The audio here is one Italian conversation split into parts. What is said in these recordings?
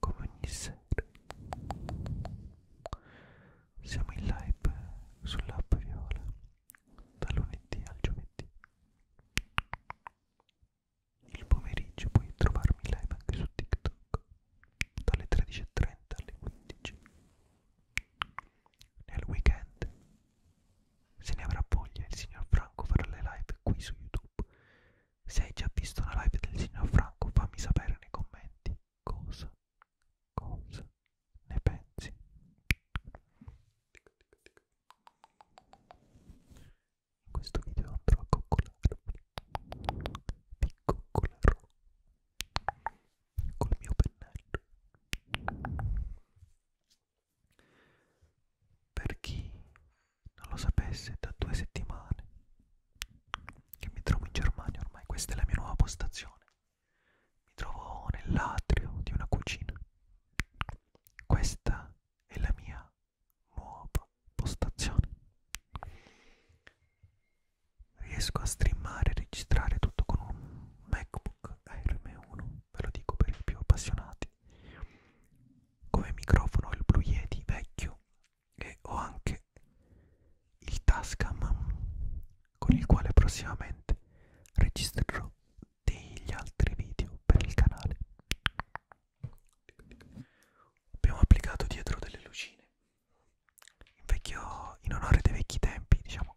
come ogni sera siamo in live sull'app Viola da lunedì al giovedì il pomeriggio puoi trovarmi live anche su TikTok dalle 13.30 alle 15 nel weekend se ne avrà voglia il signor Franco farà le live qui su YouTube se hai già visto una live del signor Franco, fammi sapere nei commenti cosa, cosa ne pensi. In questo video andrò a coccolarvi. Vi coccolerò col mio pennello. Per chi non lo sapesse da due settimane che mi trovo in Germania ormai, questa è la mia nuova postazione. Mi trovo nell'atrio di una cucina. Questa è la mia nuova postazione. Riesco a streamare e registrare tutto con un MacBook Air M1, ve lo dico per i più appassionati. Come microfono il Blue Yeti vecchio e ho anche il Tascam con il quale prossimamente registrerò degli altri video per il canale abbiamo applicato dietro delle lucine in, vecchio, in onore dei vecchi tempi diciamo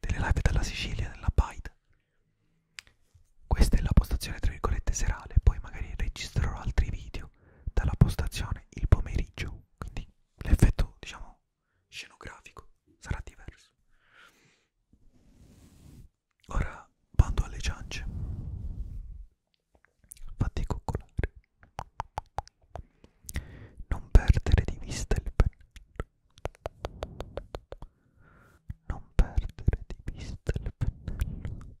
delle live dalla Sicilia della Baita questa è la postazione tra virgolette serale poi magari registrerò altri video esempio dalla postazione il pomeriggio quindi l'effetto diciamo scenografico sarà diverso ora vado alle ciance fatti coccolare non perdere di vista il pennello non perdere di vista il pennello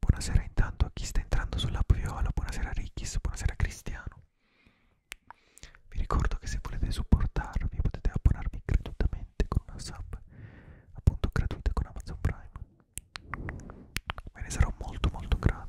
Buonasera intanto tanto Aquí está entrando sulla viola, buonasera a Rickis, buonasera a Cristiano Vi ricordo che se volete supportarmi potete abbonarvi gratuitamente con una sub appunto gratuita con Amazon Prime. Me ne sarò molto molto grato.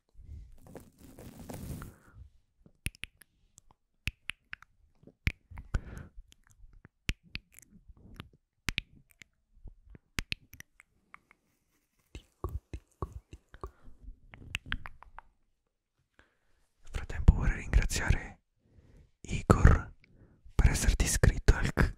Nel frattempo vorrei ringraziare Igor per esserti iscritto al canale.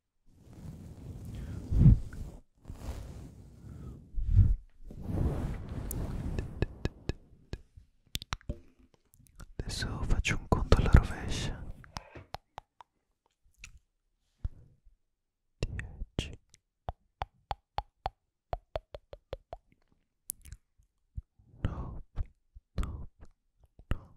Adesso faccio un conto alla rovescia. 10 9 9 9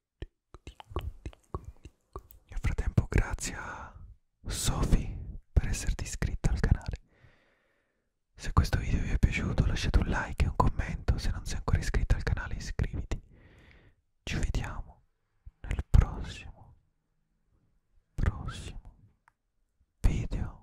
Nel frattempo grazie a Sophie per esserti iscritta al canale. Se questo video vi è piaciuto lasciate un like e un commento, se non sei ancora iscritta al canale iscriviti. Ci vediamo nel prossimo, prossimo video.